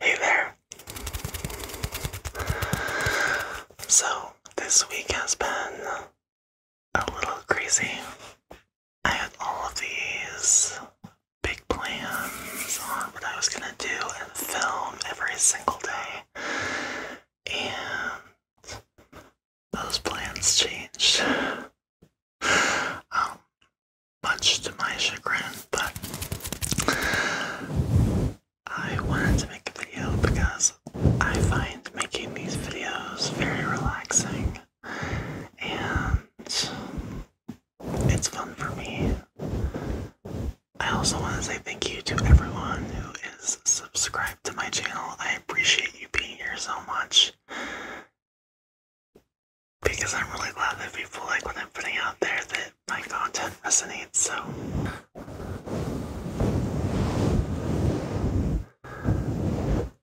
Hey there. So, this week has been a little crazy. I had all of these big plans on what I was gonna do and film every single day, and those plans changed. Um, much to my chagrin, but I wanted to make a video because I find making these videos very relaxing and it's fun for me. I also want to say thank you to everyone who is subscribed to my channel. I appreciate you being here so much because I'm really glad that people like what I'm putting out there, that my content resonates. So,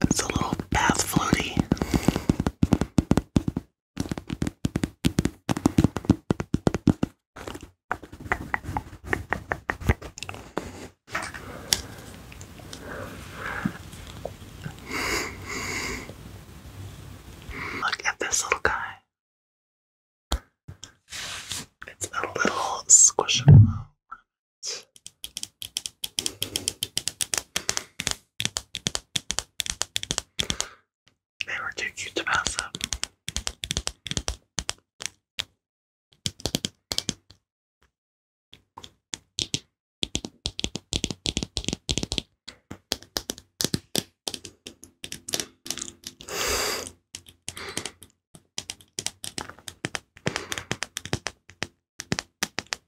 It's a little bath floaty. Look at this little guy. It's a little squishable they were too cute to pass up.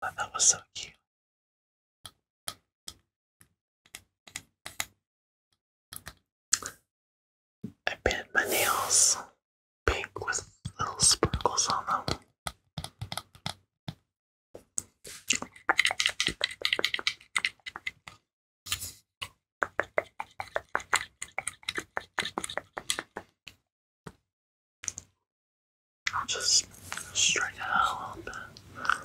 that was so cute. I painted my nails pink with little sprinkles on them. I'll just straighten it out a little bit. Okay.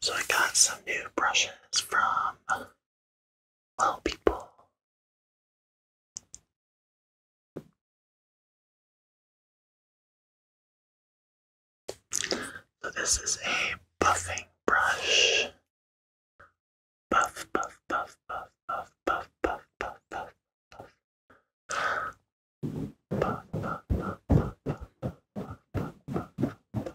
So I got some new brushes from Well People. So this is a buffing brush. Buff, buff, buff, buff, buff, buff, buff, buff, buff, buff. Buff, buff, buff, buff, buff, buff, buff,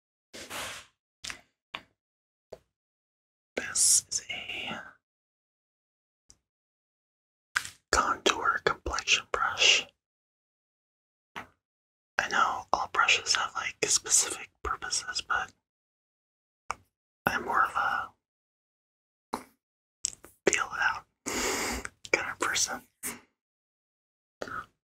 This is a contour complexion brush. I know all brushes have like specific purposes, but I'm more of a feel it out kind of person.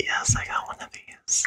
Yes, I got one of these.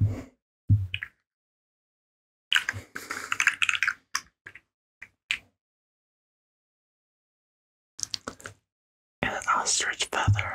and an ostrich feather.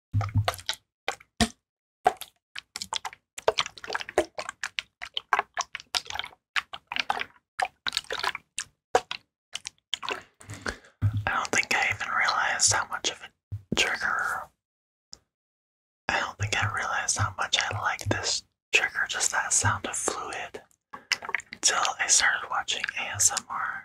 I don't think I even realized how much of a trigger. I don't think I realized how much I like this trigger, just that sound of fluid, until I started watching ASMR.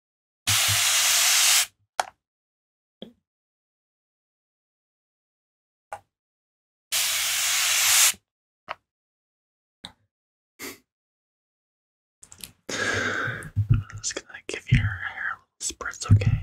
I'm just gonna give your hair a little spritz, okay?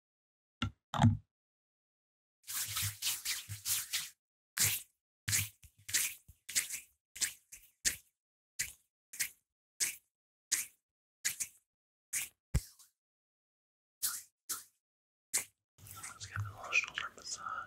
Let's get the little shoulder massage.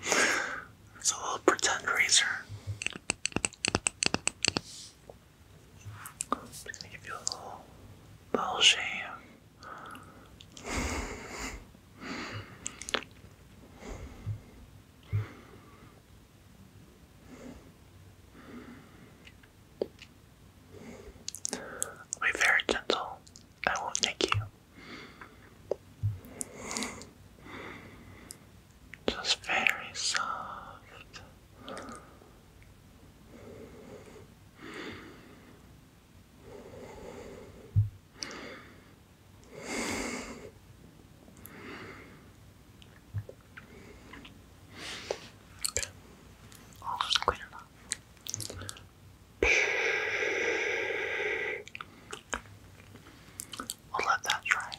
It's a little pretend razor. just gonna give you a little, little shave. I'll be very gentle. I won't nick you. Just very soft. Okay. I'll We'll let that dry.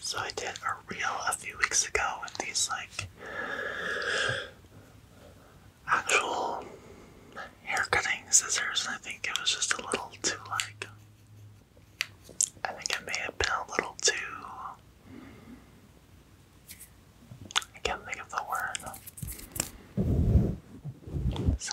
So I did a reel a few weeks ago with these like actual hair cutting scissors and I think it was just a little too like I think it may have been a little too. I can't think of the word. So.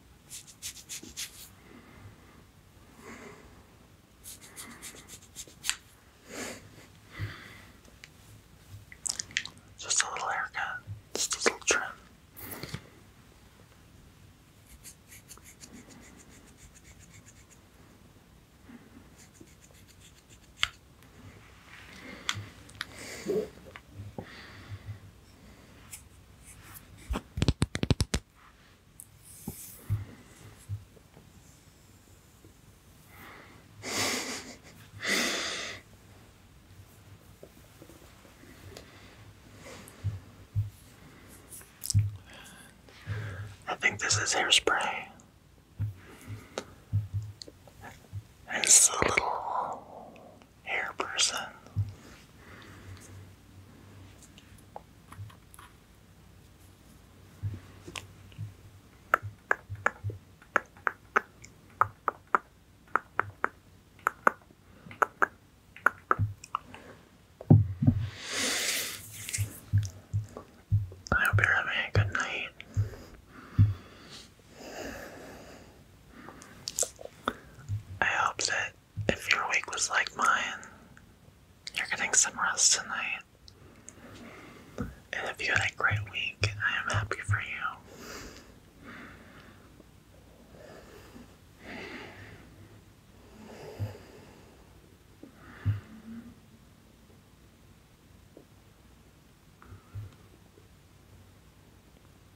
Just a little haircut, just a little trim. I think this is hairspray. It's a little hair person. I hope you're having a good night. I hope that if your week was like mine, you're getting some rest tonight. And if you had a great week, I am happy for you.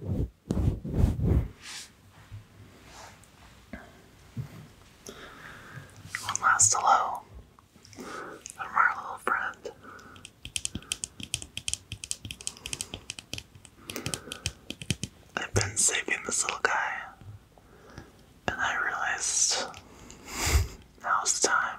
One last hello from our little friend. I've been saving this little guy, and I realized now's the time.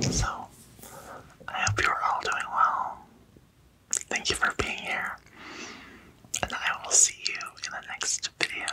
So, I hope you're all doing well. Thank you for being here. And I will see you in the next video.